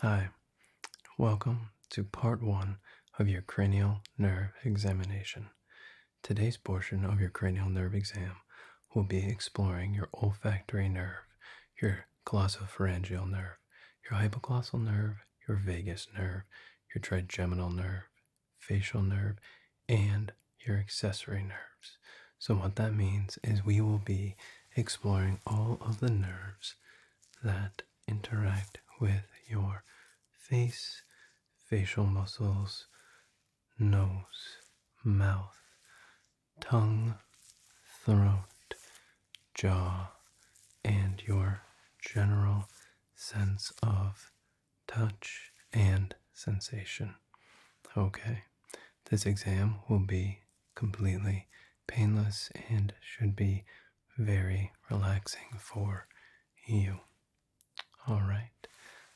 Hi, welcome to part one of your cranial nerve examination. Today's portion of your cranial nerve exam will be exploring your olfactory nerve, your glossopharyngeal nerve, your hypoglossal nerve, your vagus nerve, your trigeminal nerve, facial nerve, and your accessory nerves. So, what that means is we will be exploring all of the nerves that interact with your face, facial muscles, nose, mouth, tongue, throat, jaw, and your general sense of touch and sensation. Okay, this exam will be completely painless and should be very relaxing for you. Alright,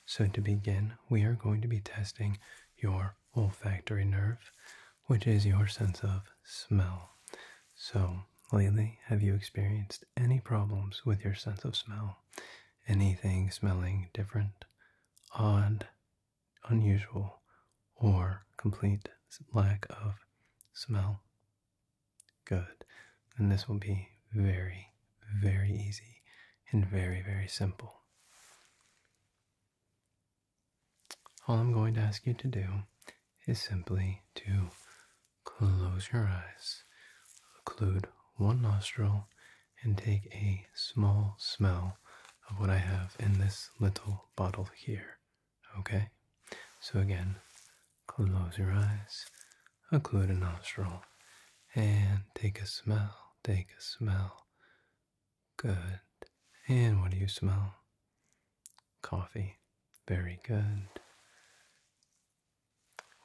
so to begin, we are going to be testing your olfactory nerve, which is your sense of smell. So, lately, have you experienced any problems with your sense of smell? Anything smelling different, odd, unusual or complete lack of smell. Good. And this will be very, very easy and very, very simple. All I'm going to ask you to do is simply to close your eyes, occlude one nostril, and take a small smell of what I have in this little bottle here. Okay, so again, close your eyes, occlude a nostril, and take a smell, take a smell. Good. And what do you smell? Coffee. Very good.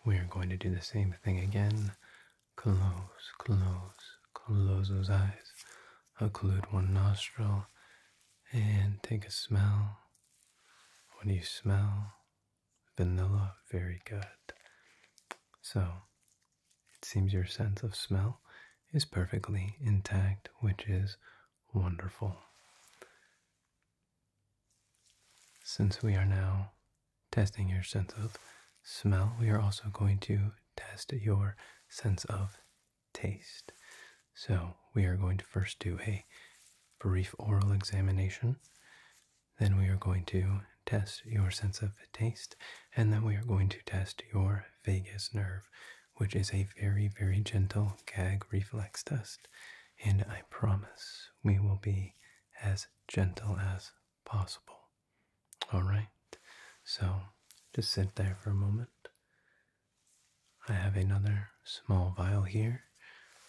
We're going to do the same thing again. Close, close, close those eyes. Close one nostril and take a smell. What do you smell? Vanilla. Very good. So, it seems your sense of smell is perfectly intact, which is wonderful. Since we are now testing your sense of smell, we are also going to test your sense of taste. So, we are going to first do a brief oral examination. Then we are going to test your sense of taste, and then we are going to test your vagus nerve, which is a very, very gentle gag reflex test. And I promise we will be as gentle as possible. All right, so just sit there for a moment I have another small vial here,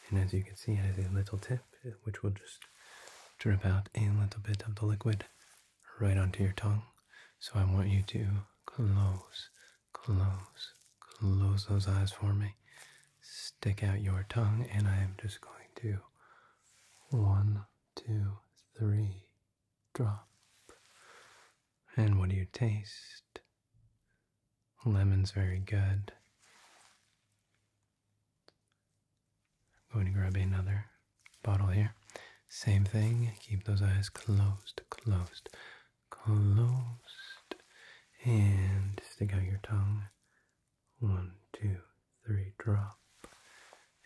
and as you can see, it has a little tip which will just drip out a little bit of the liquid right onto your tongue. So I want you to close, close, close those eyes for me. Stick out your tongue, and I am just going to one, two, three, drop. And what do you taste? Lemon's very good. I'm going to grab another bottle here. Same thing, keep those eyes closed, closed, closed. And stick out your tongue. One, two, three, drop.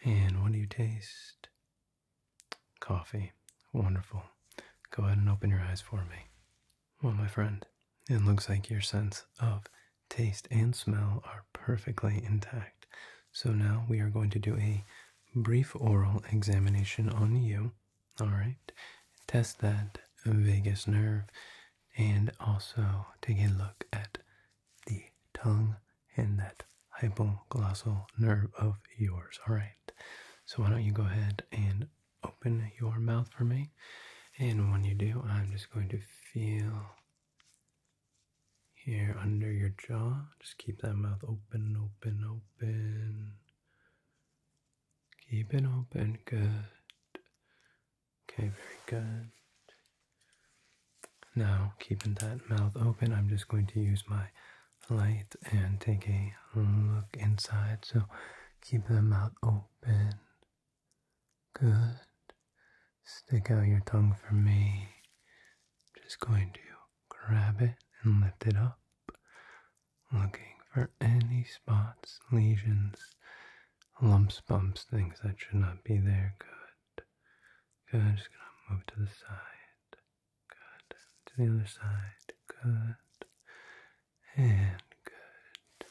And what do you taste? Coffee. Wonderful. Go ahead and open your eyes for me. Well, my friend, it looks like your sense of taste and smell are perfectly intact. So now we are going to do a brief oral examination on you. All right. Test that vagus nerve and also take a look at the tongue in that hypoglossal nerve of yours. All right. So why don't you go ahead and open your mouth for me? And when you do, I'm just going to feel here under your jaw. Just keep that mouth open, open, open. Keep it open. Good. Okay, very good. Now, keeping that mouth open, I'm just going to use my light and take a look inside. So keep the mouth open. Good. Stick out your tongue for me. just going to grab it and lift it up. Looking for any spots, lesions, lumps, bumps, things that should not be there. Good. Good. Just gonna move to the side. Good. To the other side. Good. And good.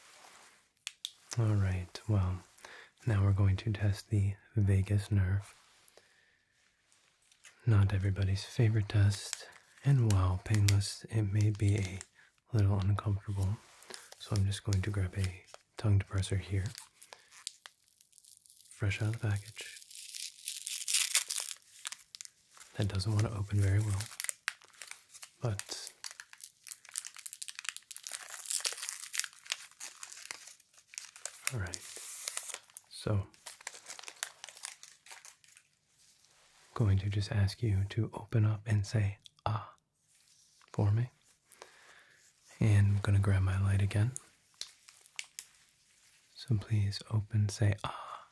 All right. Well, now we're going to test the vagus nerve. Not everybody's favorite test, and while painless, it may be a little uncomfortable. So I'm just going to grab a tongue depressor here fresh out of the package. That doesn't want to open very well, but all right. So, going to just ask you to open up and say ah for me. And I'm going to grab my light again. So please open, say ah,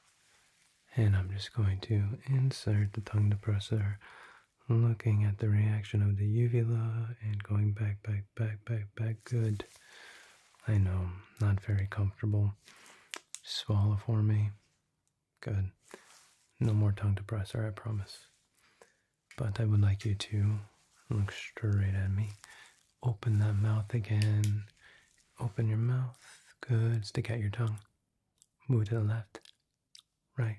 and I'm just going to insert the tongue depressor, looking at the reaction of the uvula and going back, back, back, back, back. Good. I know, not very comfortable. Swallow for me. Good. No more tongue depressor, I promise. But I would like you to look straight at me. Open that mouth again. Open your mouth. Good. Stick out your tongue. Move to the left, right,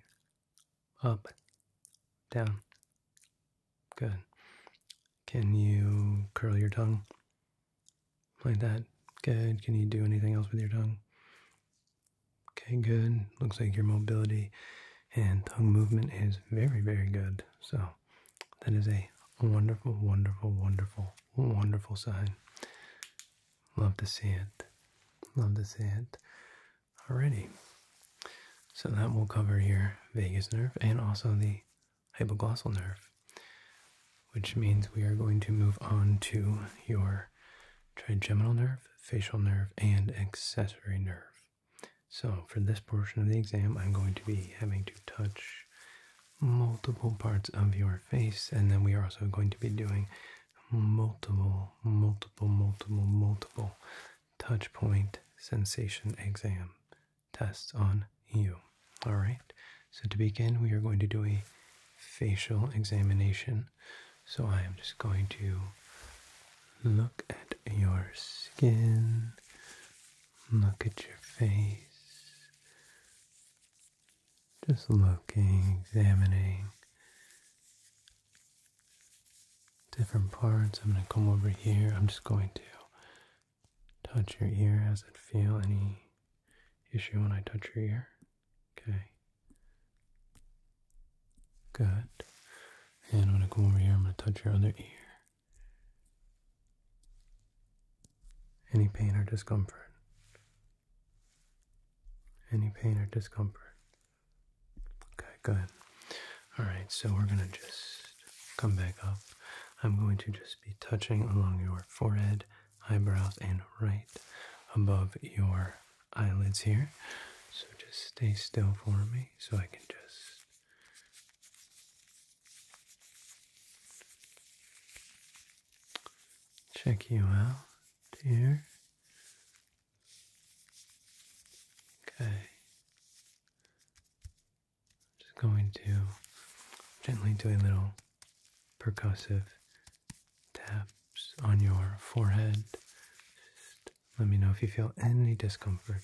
up, down. Good. Can you curl your tongue like that? Good. Can you do anything else with your tongue? Okay, good. Looks like your mobility and tongue movement is very, very good. So that is a wonderful, wonderful, wonderful, wonderful sign. Love to see it. Love to see it. Alrighty. So that will cover your vagus nerve and also the hypoglossal nerve, which means we are going to move on to your trigeminal nerve, facial nerve, and accessory nerve. So for this portion of the exam, I'm going to be having to touch multiple parts of your face, and then we are also going to be doing multiple, multiple, multiple, multiple touch point sensation exam tests on you. All right. So to begin, we are going to do a facial examination. So I am just going to look at your skin, Look at your face. Just looking, examining different parts. I'm going to come over here. I'm just going to touch your ear. does it feel? Any issue when I touch your ear? Okay. Good. And I'm going to come over here. I'm going to touch your other ear. Any pain or discomfort. Any pain or discomfort. Okay, good. All right, so we're going to just come back up. I'm going to just be touching along your forehead, eyebrows, and right above your eyelids here. So just stay still for me so I can just Check you out, here. Okay. Just going to gently do a little percussive taps on your forehead. Just let me know if you feel any discomfort.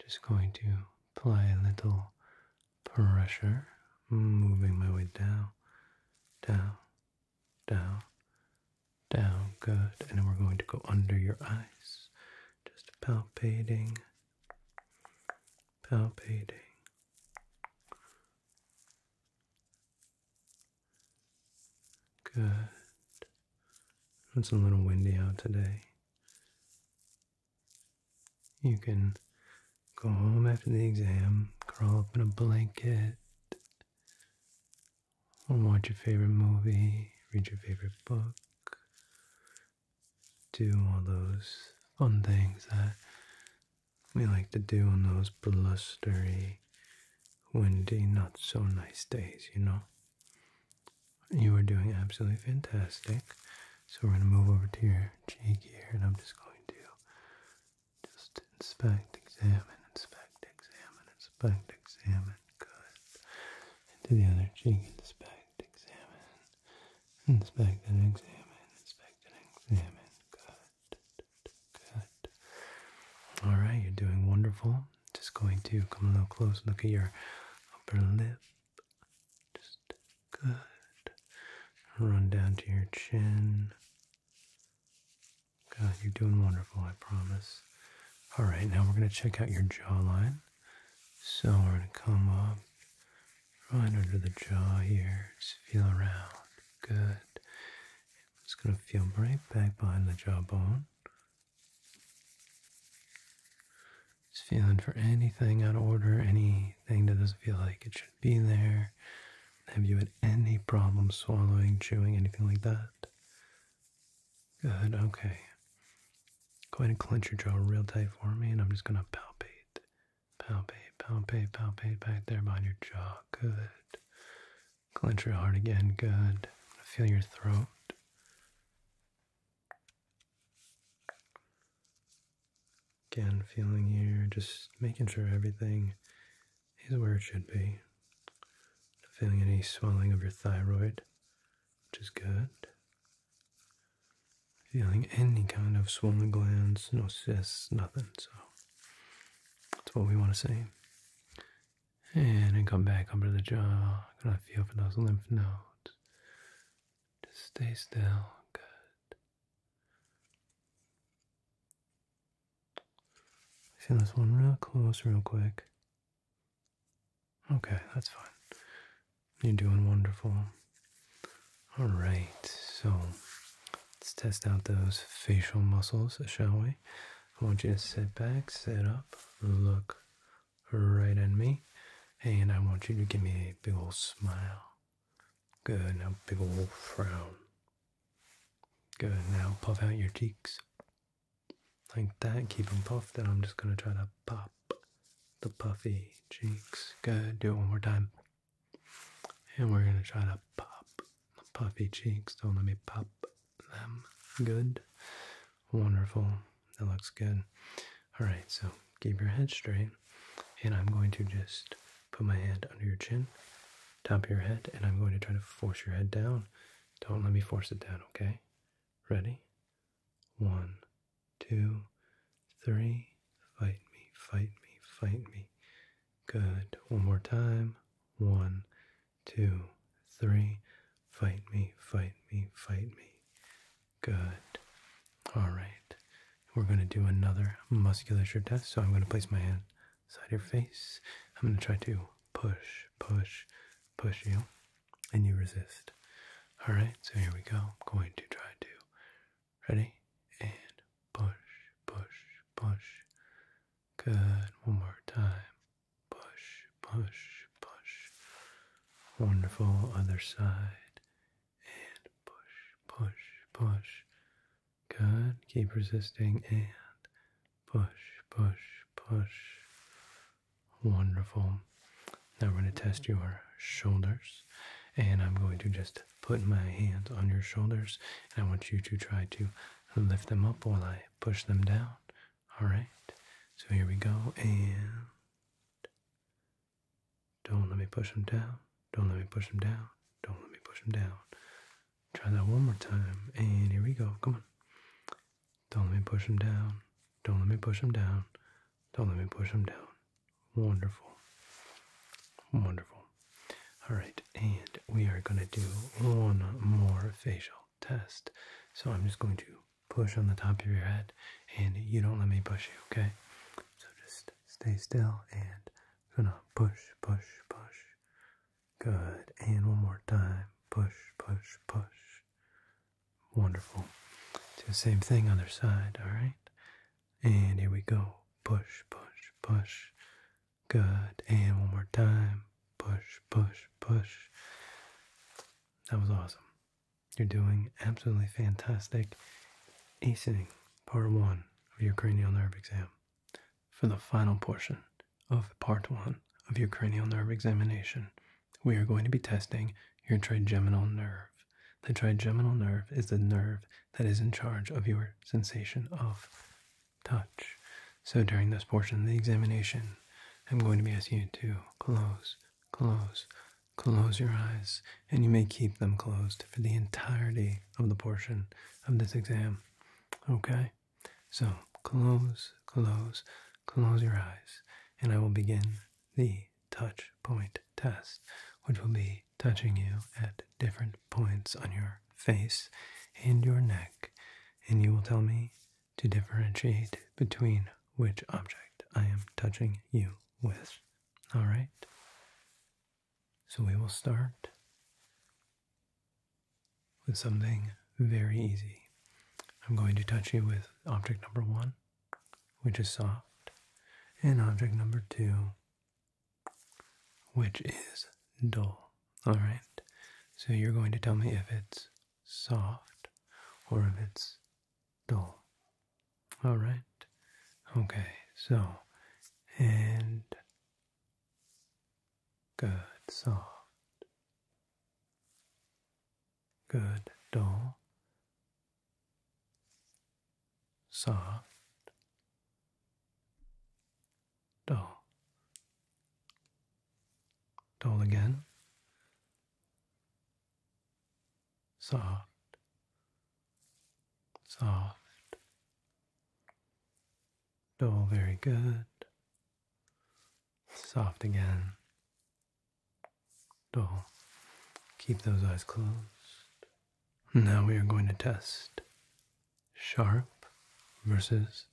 Just going to apply a little pressure, moving my way down, down, down, down. Good. And then we're going to go under your eyes, just palpating, palpating. Good. It's a little windy out today. You can go home after the exam, crawl up in a blanket, or watch your favorite movie, read your favorite book, do all those fun things that we like to do on those blustery, windy, not so nice days, you know? You are doing absolutely fantastic. So we're going to move over to your cheek here, and I'm just going to just inspect, examine, inspect, examine, inspect, examine. Good. Into the other cheek, inspect, examine, inspect, examine, inspect, examine. Good. Good. All right, you're doing wonderful. Just going to come a little close, look at your upper lip, just good. Run down to your chin. God, you're doing wonderful, I promise. All right, now we're going to check out your jawline. So we're going to come up right under the jaw here. Just feel around. Good. It's going to feel right back behind the jawbone. Just feeling for anything out of order, anything that doesn't feel like it should be there. Have you had any problem swallowing, chewing, anything like that? Good, okay. Go ahead and clench your jaw real tight for me, and I'm just gonna palpate, palpate, palpate, palpate back there behind your jaw. Good. Clench your heart again. Good. Feel your throat. Again, feeling here, just making sure everything is where it should be. Not feeling any swelling of your thyroid, which is good. Feeling any kind of swollen glands, no cysts, nothing. So that's what we want to see. And then come back under the jaw. Gonna feel for those lymph nodes. Just stay still. Good. See this one real close, real quick. Okay, that's fine. You're doing wonderful. All right, so let's test out those facial muscles, shall we? I want you to sit back, sit up, look right on me, and I want you to give me a big old smile. Good, now big old frown. Good, now puff out your cheeks. Like that, keep them puffed, Then I'm just gonna try to pop the puffy cheeks. Good, do it one more time. And we're gonna try to pop the puffy cheeks. Don't let me pop them. Good. Wonderful. That looks good. All right, so keep your head straight, and I'm going to just put my hand under your chin, top of your head, and I'm going to try to force your head down. Don't let me force it down, okay? Ready? One, two, three. Fight me, fight me, fight me. Good. One more time. One, two, three. Fight me, fight me, fight me. Good. All right. We're going to do another musculature test. So I'm going to place my hand side your face. I'm going to try to push, push, push you, and you resist. All right. So here we go. I'm going to try to. Ready? And push, push, push. Good. One more time push, push, push. Wonderful other side. And push, push, push. Good. Keep resisting and push, push, push. Wonderful. Now we're going to test your shoulders. And I'm going to just put my hands on your shoulders. And I want you to try to lift them up while I push them down. All right, so here we go, and don't let me push them down. Don't let me push them down. Don't let me push them down. Try that one more time, and here we go. Come on. Don't let me push them down. Don't let me push them down. Don't let me push them down. Wonderful. Wonderful. All right, and we are going to do one more facial test. So I'm just going to push on the top of your head and you don't let me push you, okay? So just stay still and gonna push, push, push. Good. And one more time. Push, push, push. Wonderful. Do the same thing, other side, alright? And here we go. Push, push, push. Good. And one more time. Push, push, push. That was awesome. You're doing absolutely fantastic acing part one of your cranial nerve exam. For the final portion of part one of your cranial nerve examination, we are going to be testing your trigeminal nerve. The trigeminal nerve is the nerve that is in charge of your sensation of touch. So during this portion of the examination, I'm going to be asking you to close close, close your eyes, and you may keep them closed for the entirety of the portion of this exam. Okay? So close, close, close your eyes, and I will begin the touch point test, which will be touching you at different points on your face and your neck, and you will tell me to differentiate between which object I am touching you with. All right? So we will start with something very easy. I'm going to touch you with object number one, which is soft, and object number two, which is dull. All right? So you're going to tell me if it's soft or if it's dull. All right. Okay, so, and good, soft, good, dull, soft, dull, dull again, soft, soft. Dull, very good. Soft again. Dull. Keep those eyes closed. Now we are going to test sharp versus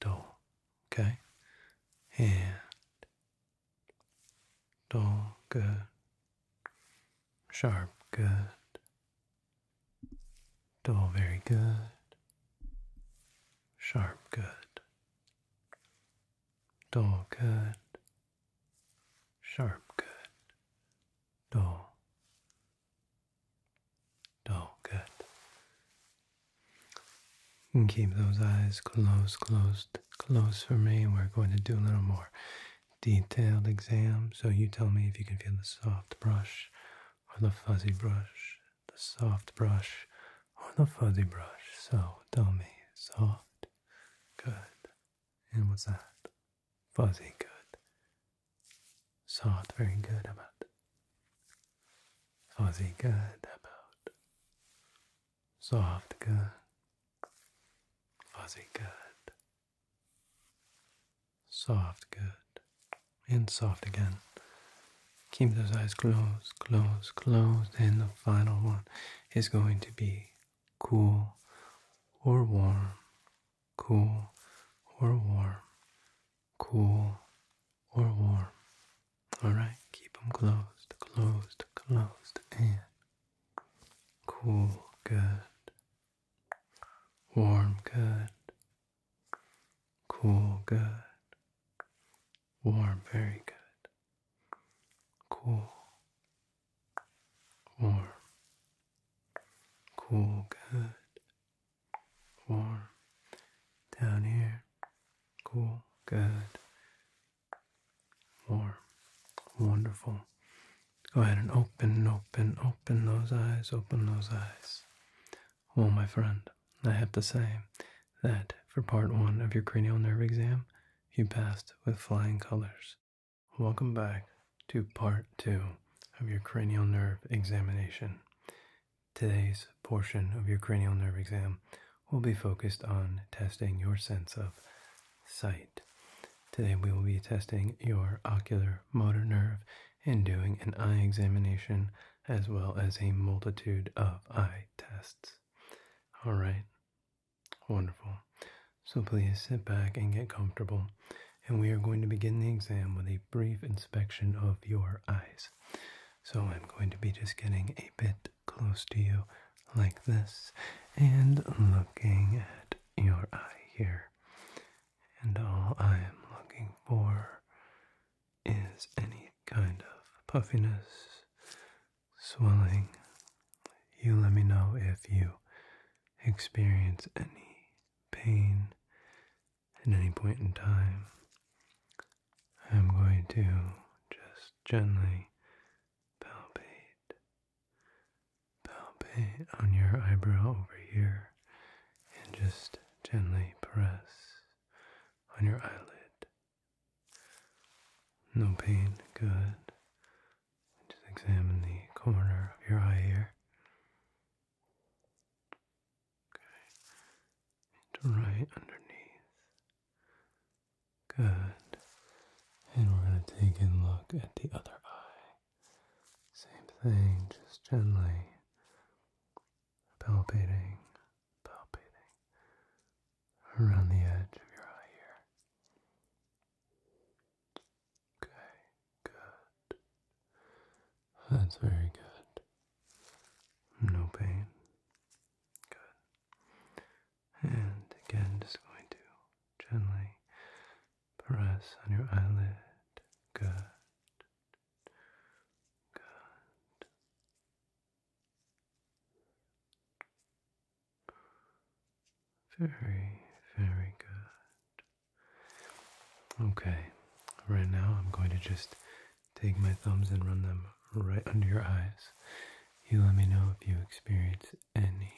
dull. Okay? And Dull, good. Sharp, good. Dull, very good. Sharp, good. Dull, good. Sharp, good. Dull. Dull, good. Hmm. keep those eyes closed, closed, closed for me. We're going to do a little more detailed exam. So you tell me if you can feel the soft brush or the fuzzy brush, the soft brush or the fuzzy brush. So tell me, soft, good. And what's that? Fuzzy, good. Soft, very good. How about Cozy good, about soft good, fuzzy good, soft good, and soft again. Keep those eyes closed, closed, closed, and the final one is going to be cool or warm, cool or warm, cool or warm. Alright, keep them closed, closed, closed, and cool, good. Warm, good. Cool, good. Warm, very good. Cool. Warm. Cool, good. Warm. Down here. Cool. Good. Warm. Wonderful. Go ahead and open, open, open those eyes, open those eyes. Well, my friend, I have to say that for part one of your cranial nerve exam, you passed with flying colors. Welcome back to part two of your cranial nerve examination. Today's portion of your cranial nerve exam will be focused on testing your sense of sight. Today we will be testing your ocular motor nerve and doing an eye examination as well as a multitude of eye tests. All right. Wonderful. So please sit back and get comfortable. And we are going to begin the exam with a brief inspection of your eyes. So I'm going to be just getting a bit close to you like this and looking at your eye here. And all I am looking for is any kind of puffiness, swelling. You let me know if you experience any pain at any point in time. I'm going to just gently palpate, palpate on your eyebrow over here, and just gently press on your eyelid. No pain, good. Just examine the corner of your eye here. Okay. And right underneath. Good. And we're going to take a look at the other eye. Same thing, just gently palpating, palpating around the edge of your eye here. Okay, good. That's very good. No pain. Good. And again, just going to gently press on your eyelid. Good. Good. Very, very good. Okay, right now I'm going to just take my thumbs and run them right under your eyes. You let me know if you experience any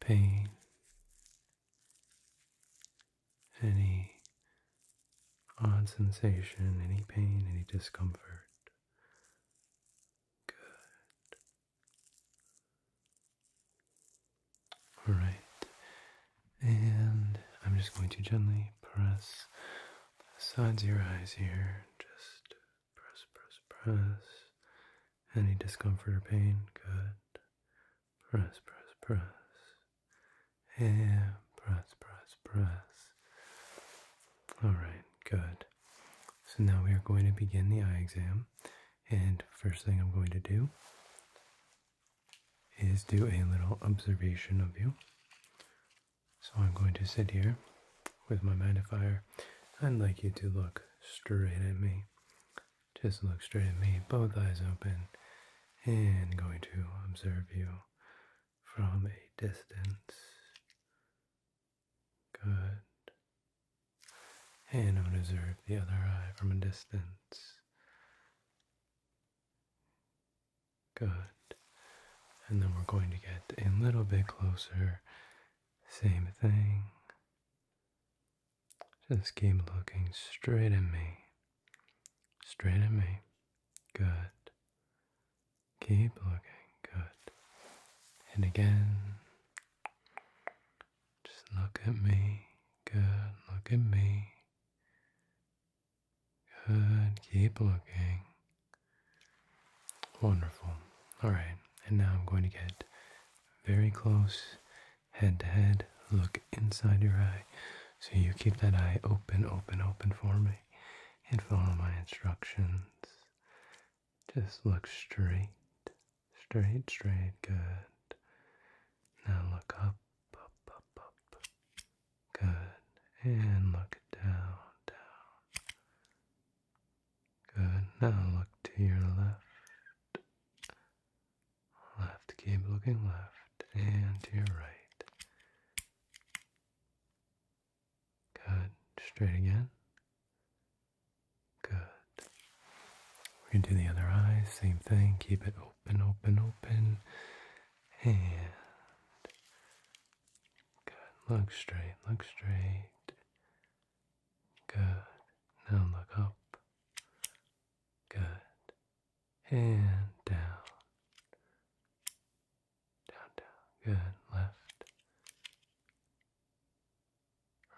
pain, any odd sensation, any pain, any discomfort. Good. All right. And I'm just going to gently press the sides of your eyes here. Just press, press, press. Any discomfort or pain? Good. Press, press, press. And press, press, press. Alright, good. So now we are going to begin the eye exam. And first thing I'm going to do is do a little observation of you. So I'm going to sit here with my magnifier. I'd like you to look straight at me. Just look straight at me, both eyes open, and going to observe you from a distance. Good. And I'm going to observe the other eye from a distance. Good. And then we're going to get a little bit closer. Same thing. Just keep looking straight at me. Straight at me. Good. Keep looking. Good. And again. Just look at me. Good. Look at me. Good. Keep looking. Wonderful. All right. And now I'm going to get very close, head to head. Look inside your eye. So you keep that eye open, open, open for me. And follow my instructions. Just look straight, straight, straight. Good. Now look up, up, up, up. Good. And look down, down. Good. Now look to your left. Left. Keep looking left and to your right. Good. Straight again. Good. We're going to do the other eyes. Same thing. Keep it open, open, open. And Good. Look straight. Look straight. Good. Now look up. Good. And down. Down, down. Good. Left.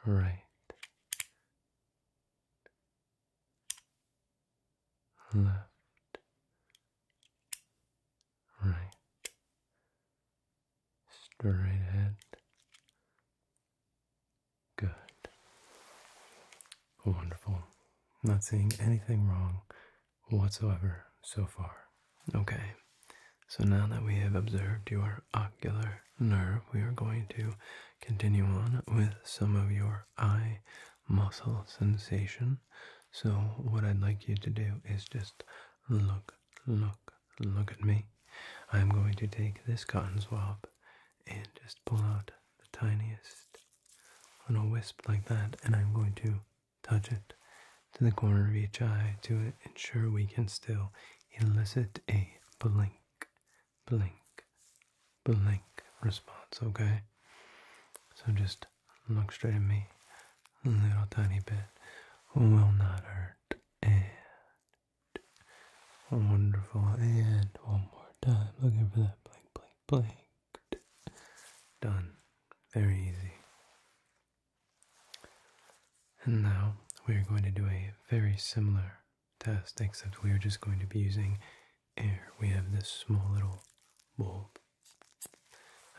Right left, right, straight ahead. Good. Wonderful. Not seeing anything wrong whatsoever so far. Okay. So now that we have observed your ocular nerve, we are going to continue on with some of your eye muscle sensation. So, what I'd like you to do is just look, look, look at me. I'm going to take this cotton swab and just pull out the tiniest little wisp like that, and I'm going to touch it to the corner of each eye to ensure we can still elicit a blink, blink, blink response, okay? So just Look straight at me. little tiny bit will not hurt. And wonderful. And one more time. Looking for that blank, blank, blank. Done. Very easy. And now we are going to do a very similar test, except we are just going to be using here we have this small little bulb.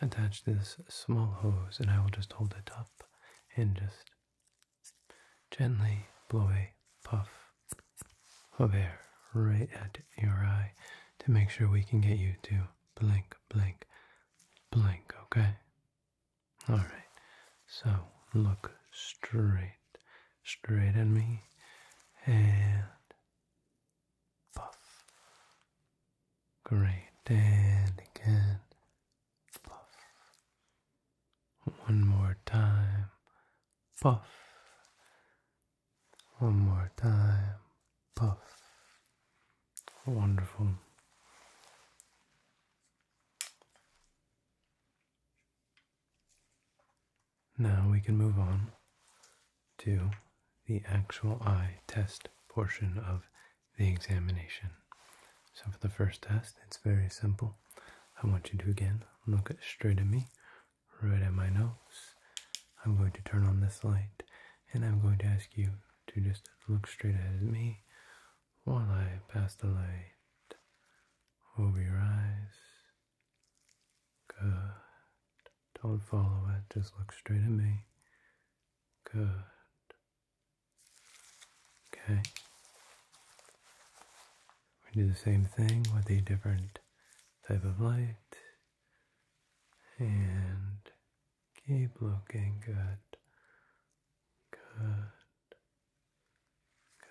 Attach this small hose, and I will just hold it up and just gently blow a puff of air right at your eye to make sure we can get you to blink, blink, blink, okay? Alright, so look straight, straight at me, and fluff. Great, and again, fluff. One more time, puff. One more time, puff. Wonderful. Now we can move on to the actual eye test portion of the examination. So for the first test, it's very simple. I want you to again look straight at me, right at my nose. I'm going to turn on this light and I'm going to ask you to just look straight at me while I pass the light over your eyes Good. Don't follow it, just look straight at me. Good. Okay. We do the same thing with a different type of light. And keep looking good. Good.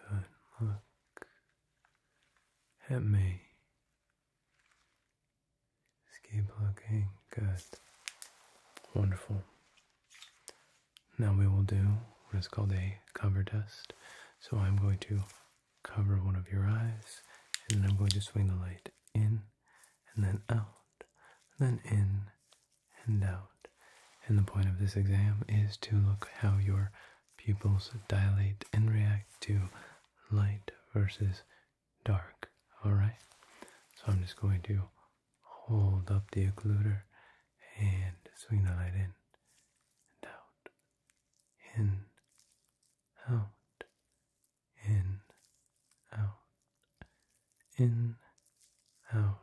Good. Look at me. Escape keep looking. Good. Wonderful. Now we will do what is called a cover test. So I'm going to cover one of your eyes, and then I'm going to swing the light in and then out, then in and out. And the point of this exam is to look how your pupils dilate and react to light versus dark. Alright, so I'm just going to hold up the occluder and swing the light in and out, in, out, in, out, in, out,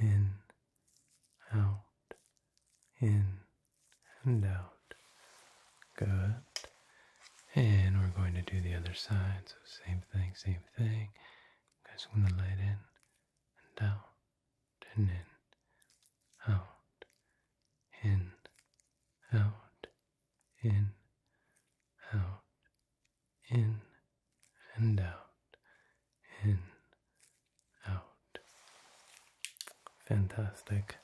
in, out, in, and out. Good. And we're going to do the other side. So same thing, same thing. You guys want the light in and out and in, out, in, out, in, out, in and out, in, out. Fantastic.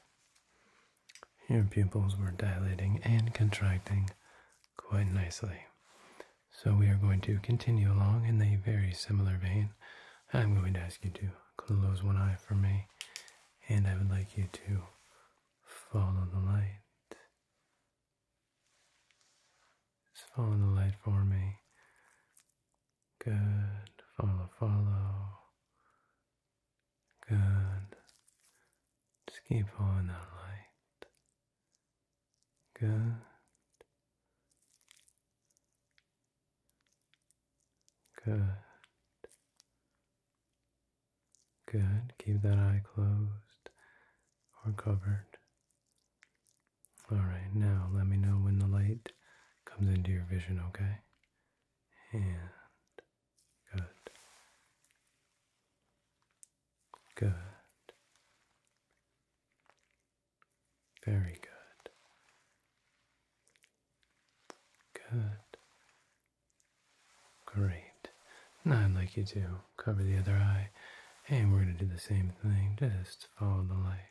Your pupils were dilating and contracting quite nicely. So we are going to continue along in a very similar vein. I'm going to ask you to close one eye for me, and I would like you to follow the light. Just follow the light for me. Good. Follow, follow. Good. Just keep on the light. Good. Good. Good. Keep that eye closed or covered. All right, now let me know when the light comes into your vision, okay? and good, good, very good, good, great. Now I'd like you to cover the other eye, and we're going to do the same thing, just follow the light.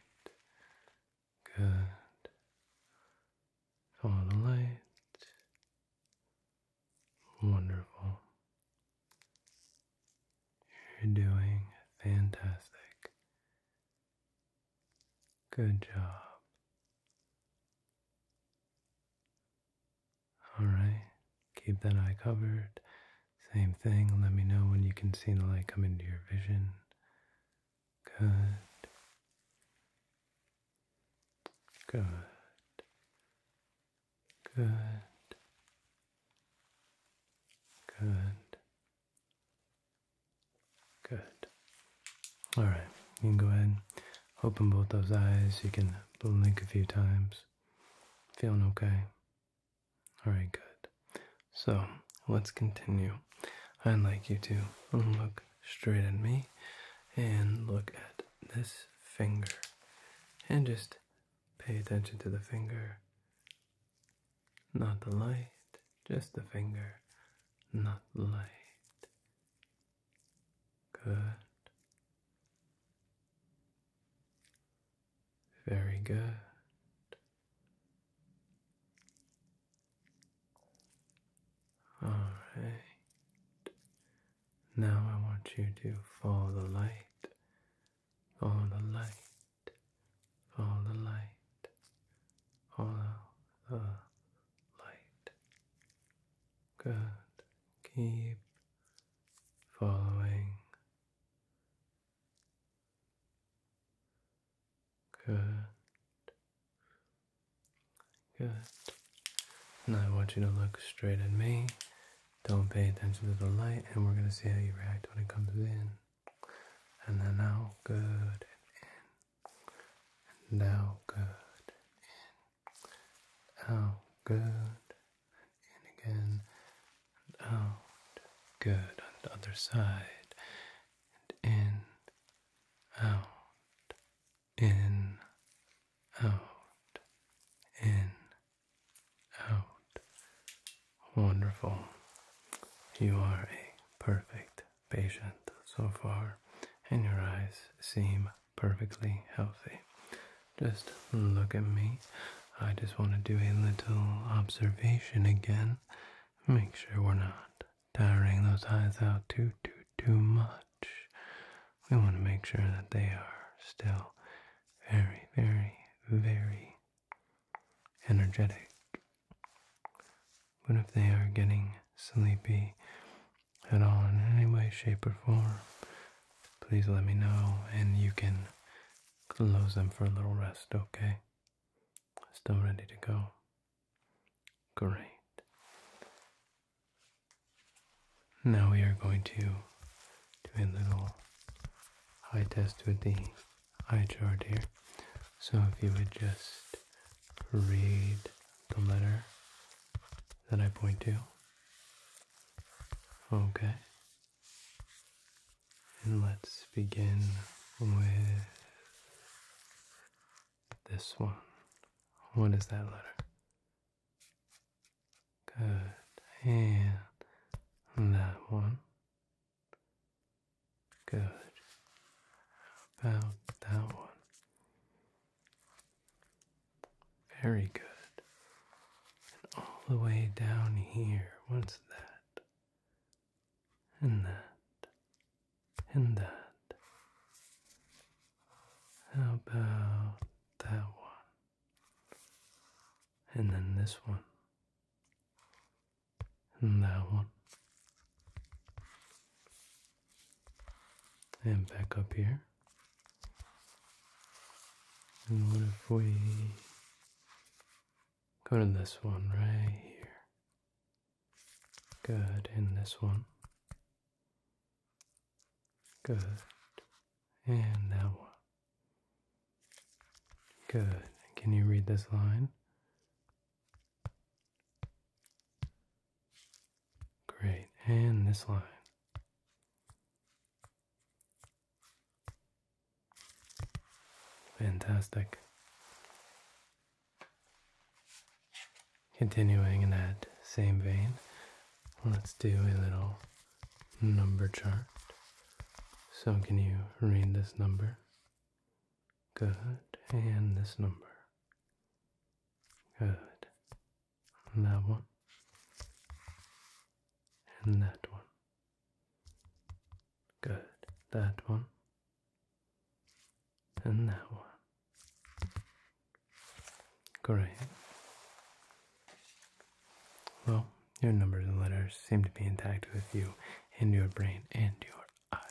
Good. Follow the light. Wonderful. You're doing fantastic. Good job. Alright, keep that eye covered. Same thing, let me know when you can see the light come into your vision. Good. Good. Good. Good. Good. All right. You can go ahead and open both those eyes. You can blink a few times. Feeling okay? All right, good. So let's continue. I'd like you to look Straighten me and look at this finger and just pay attention to the finger. Not the light, just the finger, not the light. Good. Very good. All right. Now I want you to follow the light, follow the light, follow the light, follow the light. God, Keep following. Good. Good. Now I want you to look straight at me. Don't pay attention to the light, and we're gonna see how you react when it comes in. And then out, good, and in. And out, good, in. Out, good, and again. And out, good. On the other side, and in, out, in, out, in, out. Wonderful. You are a perfect patient so far, and your eyes seem perfectly healthy. Just look at me. I just want to do a little observation again. Make sure we're not tiring those eyes out too, too, too much. We want to make sure that they are still very, very, very energetic. But if they are getting sleepy at all in any way, shape, or form, please let me know and you can close them for a little rest, okay? Still ready to go. Great. Now we are going to do a little eye test with the eye chart here. So if you would just read the letter that I point to. Okay. And let's begin with this one. What is that letter? Good. And that one. Good. About that one. Very good. And all the way down here. What's that? and that, and that. How about that one? And then this one, and that one. And back up here. And what if we go to this one right here? Good in this one. Good and that one. Good. Can you read this line? Great. And this line. Fantastic. Continuing in that same vein, let's do a little number chart. So, can you read this number? Good. And this number. Good. And that one. And that one. Good. That one and that one. Great. Well, your numbers and letters seem to be intact with you and your brain and your eyes.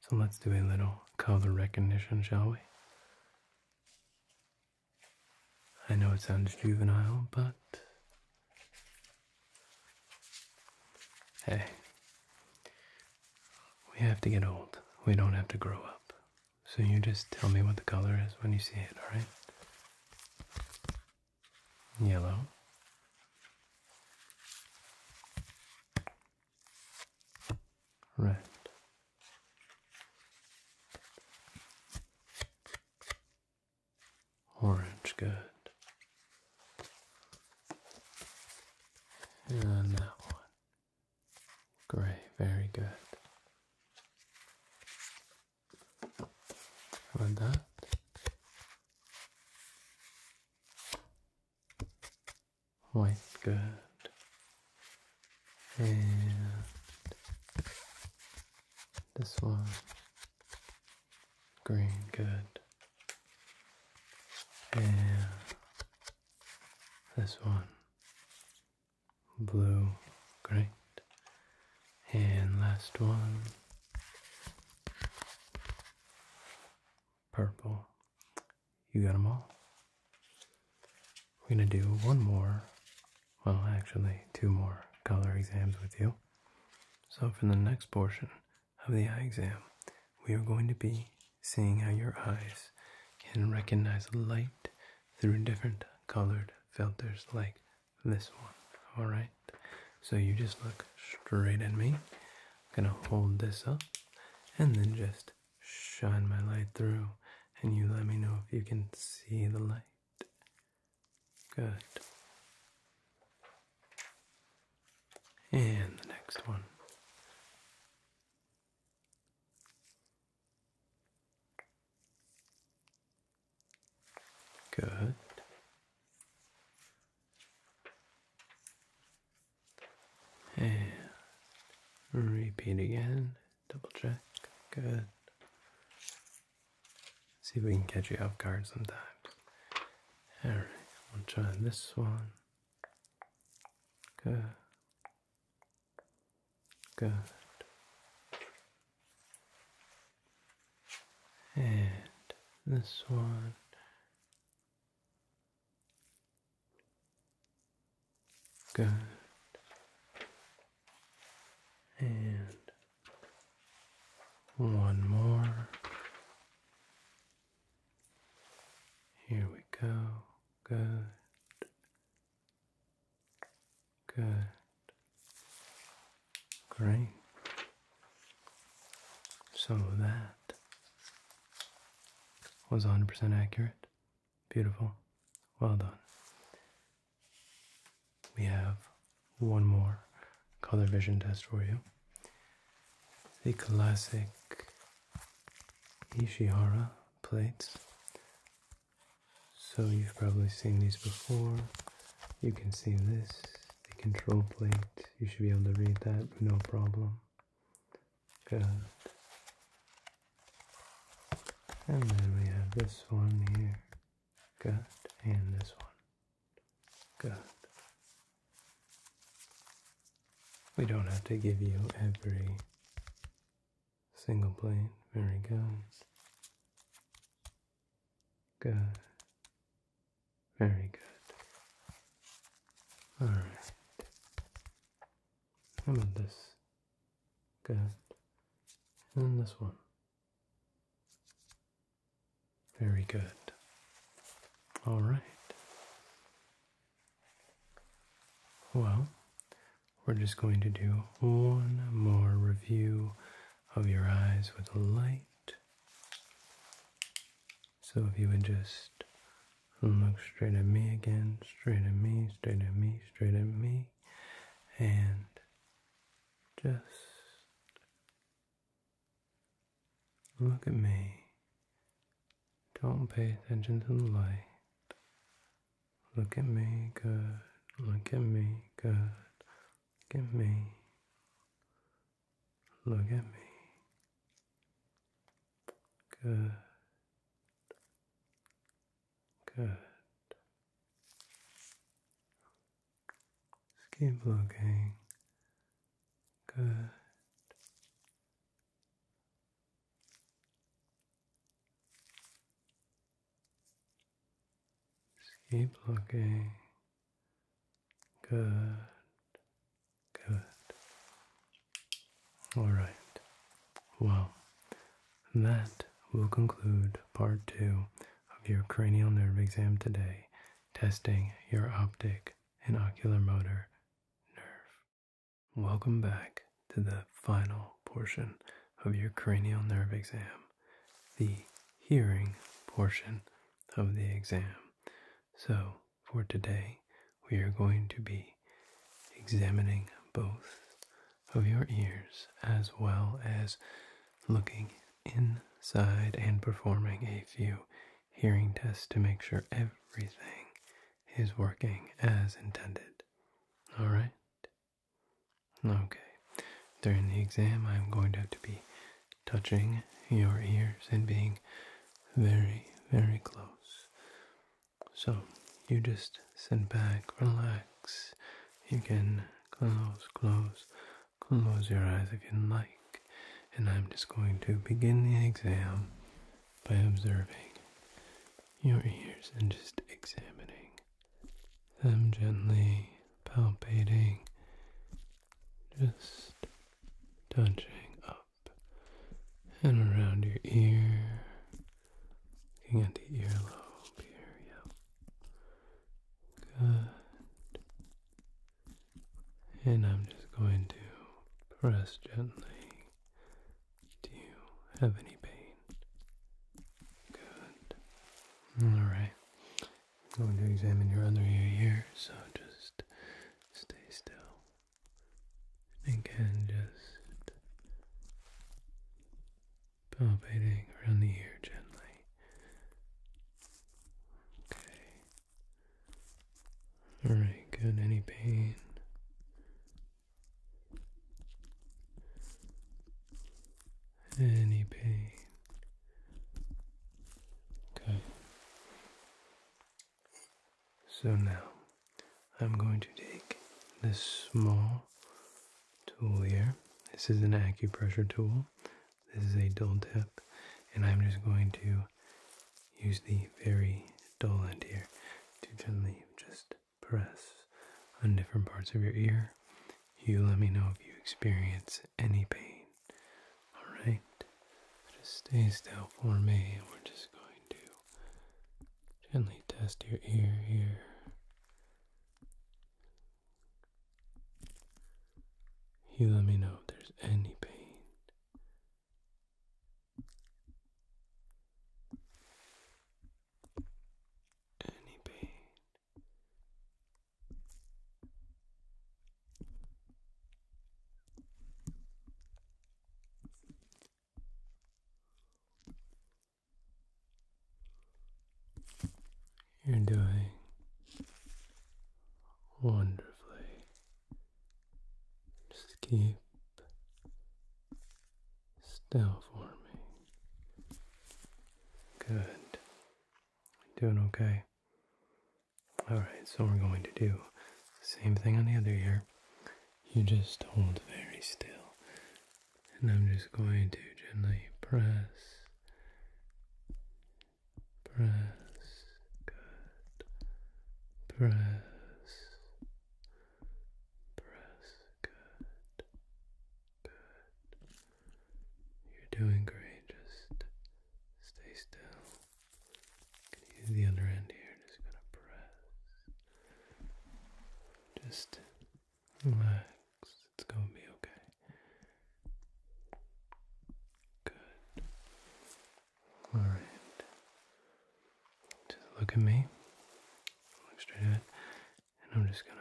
So let's do a little color recognition, shall we? I know it sounds juvenile, but hey, we have to get old. We don't have to grow up. So you just tell me what the color is when you see it, alright? Yellow. Red. Orange, good. And that one. Great, very good. And that. White, good. And this one. Green, good. And this one blue, great. And last one purple. You got them all. We're going to do one more, well, actually, two more color exams with you. So, for the next portion, of the eye exam, we are going to be seeing how your eyes can recognize light through different colored filters like this one. Alright? So you just look straight at me. I'm gonna hold this up and then just shine my light through and you let me know if you can see the light. Good. And the next one. Good. And repeat again. Double check. Good. See if we can catch you off guard sometimes. Alright, we'll try this one. Good. Good. And this one. Good. And one more. Here we go. Good. Good. Great. So that was 100% accurate. Beautiful. Well done. We have one more color vision test for you the classic Ishihara plates. So you've probably seen these before. You can see this, the control plate. You should be able to read that, no problem. Good. And then we have this one here. Good. And this one. Good. We don't have to give you every single plate. Very good. Good. Very good. All right. How about this? Good. And this one. Very good. All right. Well, we're just going to do one more review of your eyes with a light. So if you would just look straight at me again, straight at me, straight at me, straight at me, and just Look at me. Don't pay attention to the light. Look at me, good. Look at me, good. Look at me. Look at me. Good. Good. Just keep looking. Good. keep looking. Good. Good. All right. Well, that will conclude part two of your cranial nerve exam today, testing your optic and motor nerve. Welcome back to the final portion of your cranial nerve exam, the hearing portion of the exam. So, for today, we are going to be examining both of your ears as well as looking inside and performing a few hearing test to make sure everything is working as intended. Alright? Okay. During the exam, I'm going to have to be touching your ears and being very, very close. So, you just sit back, relax. You can close, close, close your eyes if you like. And I'm just going to begin the exam by observing your ears and just examining them gently, palpating, just touching up and around your ear, looking at the earlobe here, yep. Good. And I'm just going to press gently. Do you have any pain? Good. Alright. I'm going to examine your other ear here, so just stay still. And can just palpating around the ear gently. Okay. All right, good. Any pain? Any pain? Okay. So now I'm going to take this small tool here. This is an acupressure tool. This is a dull tip, and I'm just going to use the very dull end here to gently just press on different parts of your ear. You let me know if you experience any pain. Alright, just stay still for me. We're just going to gently test your ear here. You let me know if there's any pain. Any pain. You're doing wonderfully. Just keep still for me. Good. Doing okay. Alright, so we're going to do same thing on the other ear. You just hold very still. And I'm just going to gently press press, good, press, press, good, good. You're doing great, just stay still. use the under end here, just gonna press. Just relax, it's gonna be okay. Good. All right. look at me. Look straight ahead. And I'm just going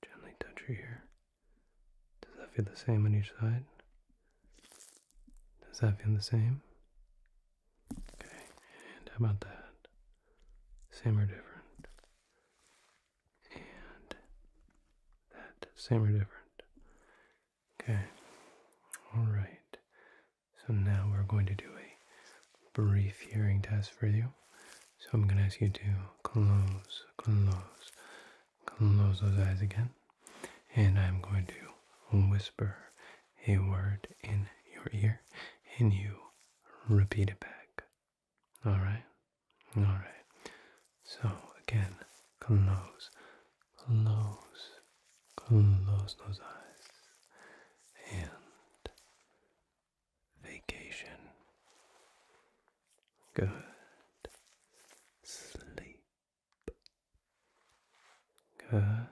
to gently touch your ear. Does that feel the same on each side? Does that feel the same? Okay. And how about that? Same or different? And that same or different. Okay. All right. So now we're going to do a brief hearing test for you. So I'm going to ask you to close, close, close those eyes again. And I'm going to whisper a word in your ear and you repeat it back. All right? All right. So again, close, close, close those eyes, and vacation. Good sleep. Good.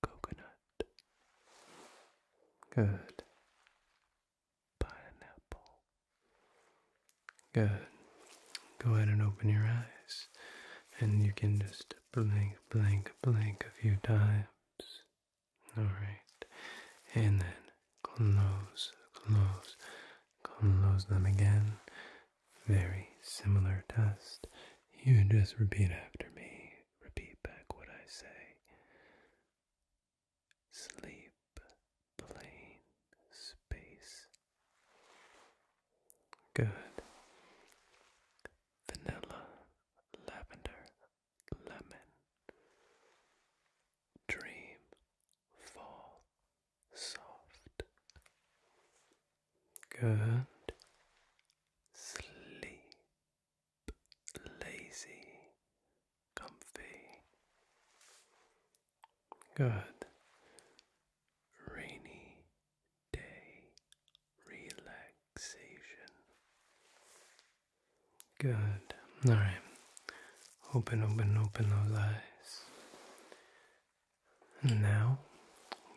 Coconut. Good pineapple. Go ahead and open your eyes. And you can just blink, blink, blink a few times. Alright. And then close, close, close them again. Very similar test. You just repeat after me. Repeat back what I say sleep plane space. Good. Vanilla, lavender, lemon. Dream, fall, soft. Good. Sleep, lazy, comfy. Good. Rainy day relaxation. Good. All right. Open, open, open those eyes. And now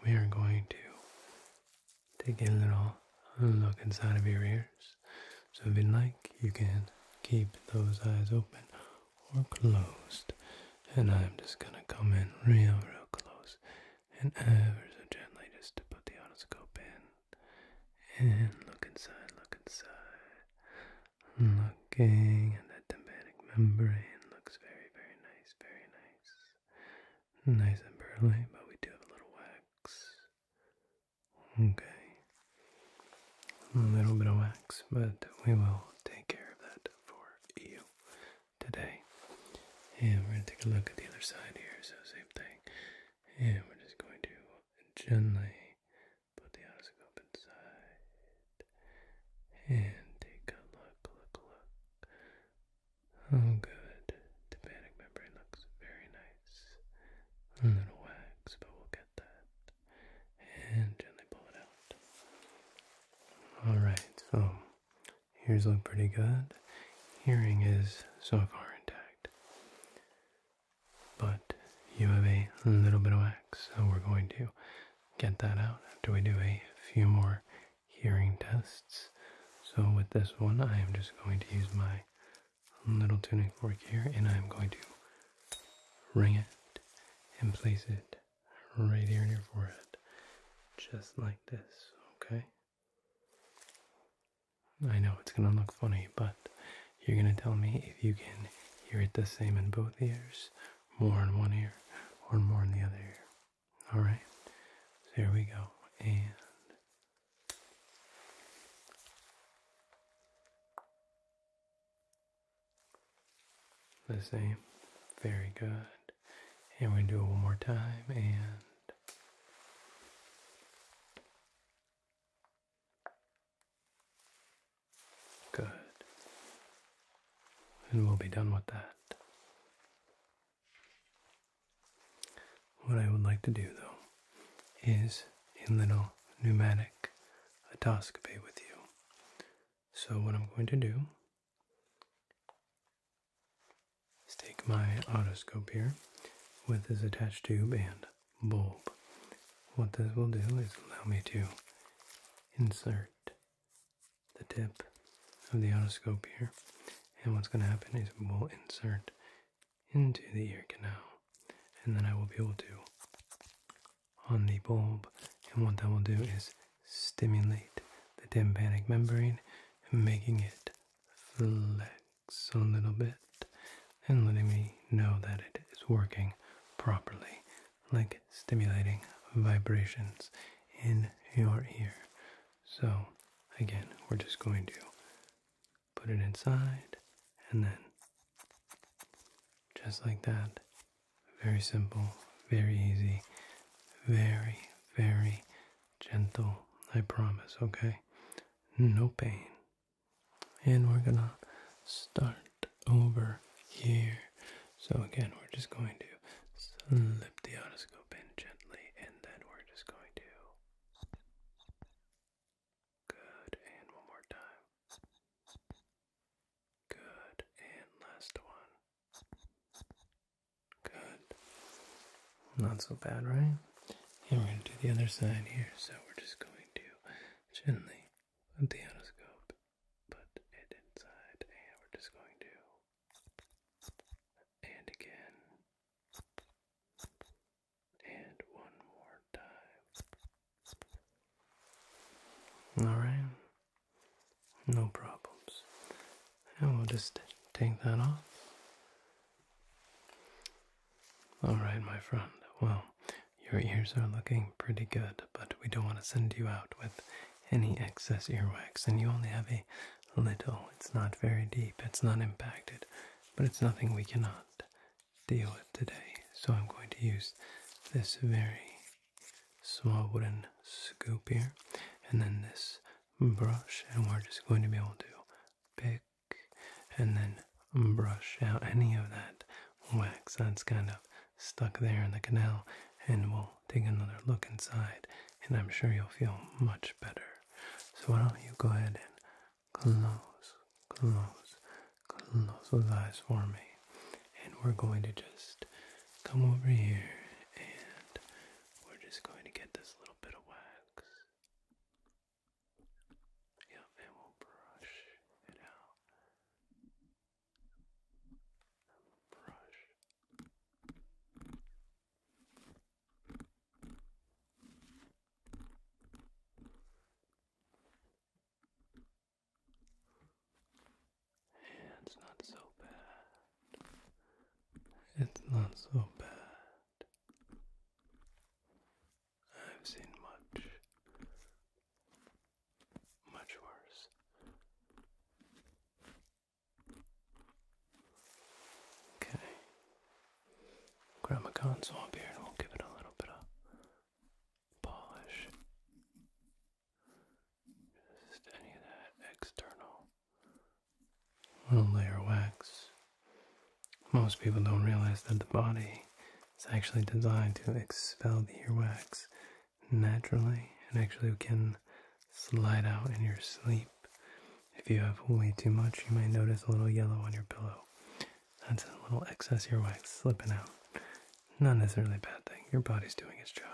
we are going to take a little look inside of your ears. So if you like, you can keep those eyes open or closed. And I'm just gonna come in real, real close and ever so gently just to put the otoscope in. And look inside, look inside. Looking at that tympanic membrane looks very, very nice, very nice. Nice and pearly, but we do have a little wax. Okay. A little bit of wax, but we will take care of that for you today. And we're going to take a look at the other side here, so same thing. And we're just going to gently put the otoscope inside. And take a look, look, look. Oh, good. The panic membrane looks very nice. A little wax, but we'll get and gently pull it out. Alright, so ears look pretty good. Hearing is so far intact. But you have a little bit of wax, so we're going to get that out after we do a few more hearing tests. So, with this one, I am just going to use my little tuning fork here, and I'm going to ring it and place it right here in your forehead, just like this, okay? I know it's gonna look funny, but you're gonna tell me if you can hear it the same in both ears, more in one ear, or more in the other ear. Alright? So here we go. And the same. Very good. And we do it one more time and good. And we'll be done with that. What I would like to do though is a little pneumatic otoscopy with you. So, what I'm going to do is take my otoscope here with this attached tube and bulb. What this will do is allow me to insert the tip of the otoscope here. And what's going to happen is we'll insert into the ear canal, and then I will be able to on the bulb. And what that will do is stimulate the tympanic membrane, making it flex a little bit and letting me know that it is working properly, like stimulating vibrations in your ear. So, again, we're just going to put it inside, and then just like that. Very simple, very easy, very, very gentle. I promise, okay? No pain. And we're gonna start over here. So, again, we're just going to slip the otoscope in gently, and then we're just going to Good, and one more time. Good, and last one. Good. Not so bad, right? And we're going to do the other side here, so we're just going to gently put the endoscope, put it inside, and we're just going to. And again. And one more time. Alright. No problems. And we'll just take that off. Alright, my friend. Well, your ears are looking pretty good, but we don't want to send you out with any excess earwax. And you only have a little, it's not very deep, it's not impacted, but it's nothing we cannot deal with today. So I'm going to use this very small wooden scoop here and then this brush and we're just going to be able to pick and then brush out any of that wax that's kind of stuck there in the canal and we'll take another look inside and I'm sure you'll feel much better. So why don't you go ahead and Close, close, close those eyes for me. And we're going to just come over here and we're just going to get this little bit of wax. Yep, and we'll brush it out. Brush it's not so bad. It's not so bad. I've seen much, much worse. Okay. Grab a console here and we'll give it a little bit of polish, just any of that external little layer Most people don't realize that the body is actually designed to expel the earwax naturally and actually can slide out in your sleep. If you have way too much, you might notice a little yellow on your pillow. That's a little excess earwax slipping out. Not necessarily a bad thing. Your body's doing its job.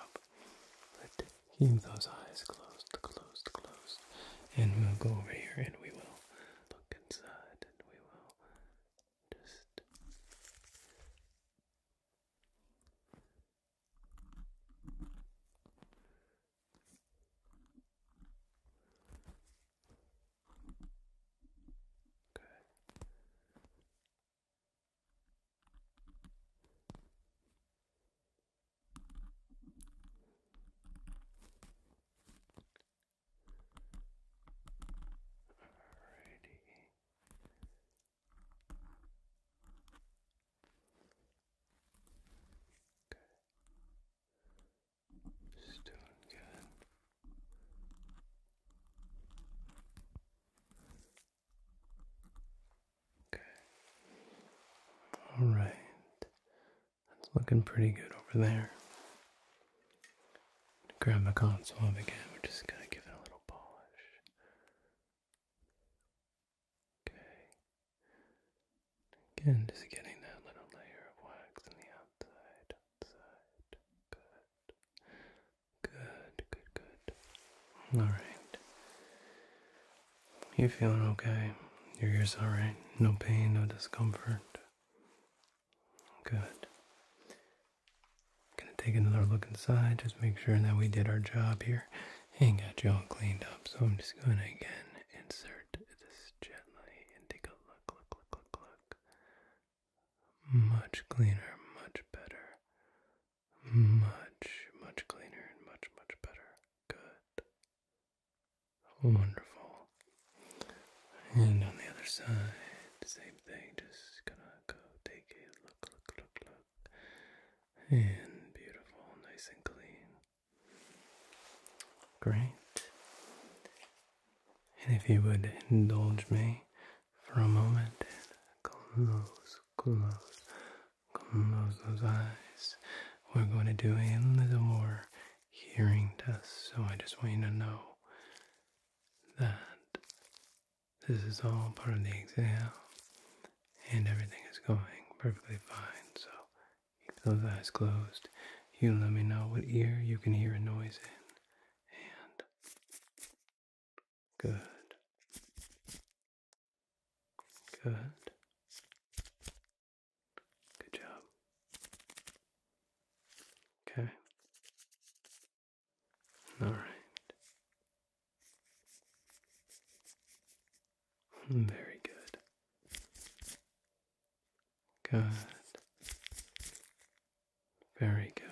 But keep those eyes closed, closed, closed. And we'll go over here and we will look inside and we will just. Good. Alrighty. Good. Okay. All right. That's looking pretty good over there. Grab my console again. We're just gonna give it a little polish. Okay. Again, just getting that little layer of wax on the outside side. Good. Good, good, good. All right. You feeling okay? Your ears all right? No pain, no discomfort. Good. Gonna take another look inside, just make sure that we did our job here and got you all cleaned up. So I'm just gonna again insert this gently and take a look, look, look, look, look much cleaner, much better, much, much cleaner, and much, much better. Good. Wonderful. And on the other side, same thing, just gonna go take a look, look, look, look. And beautiful, nice and clean. Great. And if you would indulge me for a moment, close, close, close those eyes. We're going to do a little more hearing test, so I just want you to know that this is all part of the exam and everything is going perfectly fine. So keep those eyes closed you let me know what ear you can hear a noise in. And good. Good. Good job. Okay. All right. Hmm, very good. Good. Very good.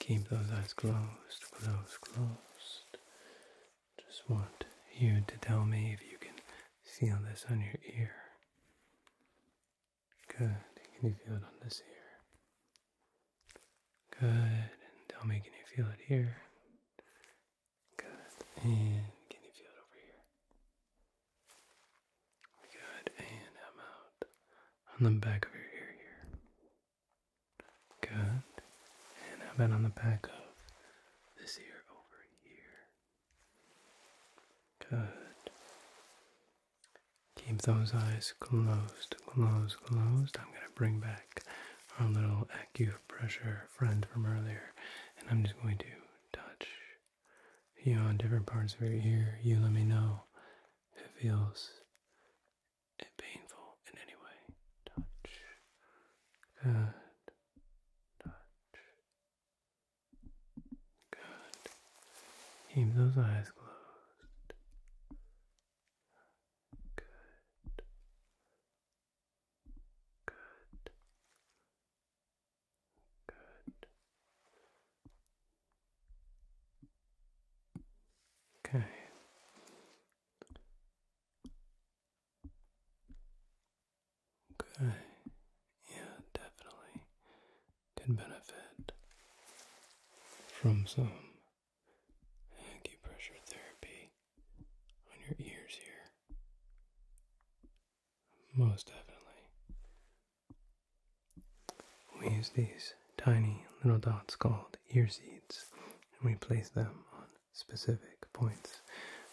Keep those eyes closed, close, closed. Just want you to tell me if you can feel this on your ear. Good. Can you feel it on this ear? Good. And tell me, can you feel it here? Good. And can you feel it over here? Good, and i out on the back of your ear here. Good, and how on the back of this ear over here? Good. Keep those eyes closed, closed, closed. I'm going to bring back our little acupressure friend from earlier, and I'm just going to touch you on different parts of your ear, you let me know if it feels painful in any way. Touch. Good. Touch. Good. Keep those eyes closed. Good. Good. Good. Okay. Okay. Yeah, definitely can benefit from some acupressure therapy on your ears here. Most definitely. We use these tiny little dots called ear seeds and we place them on specific points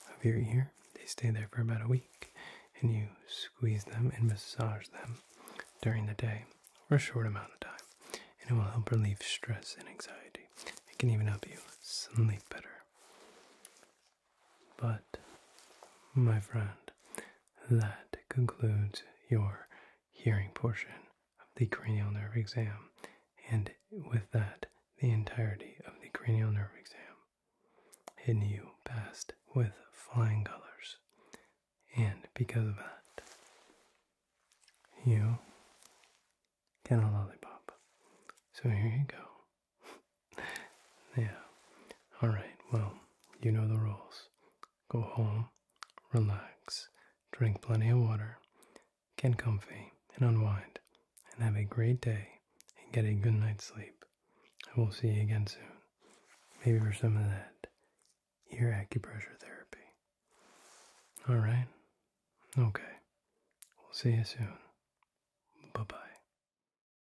of your ear. They stay there for about a week and you squeeze them and massage them during the day for a short amount of time and it will help relieve stress and anxiety. It can even help you sleep better. But, my friend, that concludes your hearing portion of the cranial nerve exam, and with that, the entirety of the cranial nerve exam. And you passed with flying colors. And because of that, you get a lollipop. So here you go. yeah. All right. Well, you know the rules. Go home, relax, drink plenty of water, get comfy and unwind, and have a great day and get a good night's sleep. I will see you again soon. Maybe for some of that ear acupressure therapy. All right. Okay. We'll see you soon. Bye bye.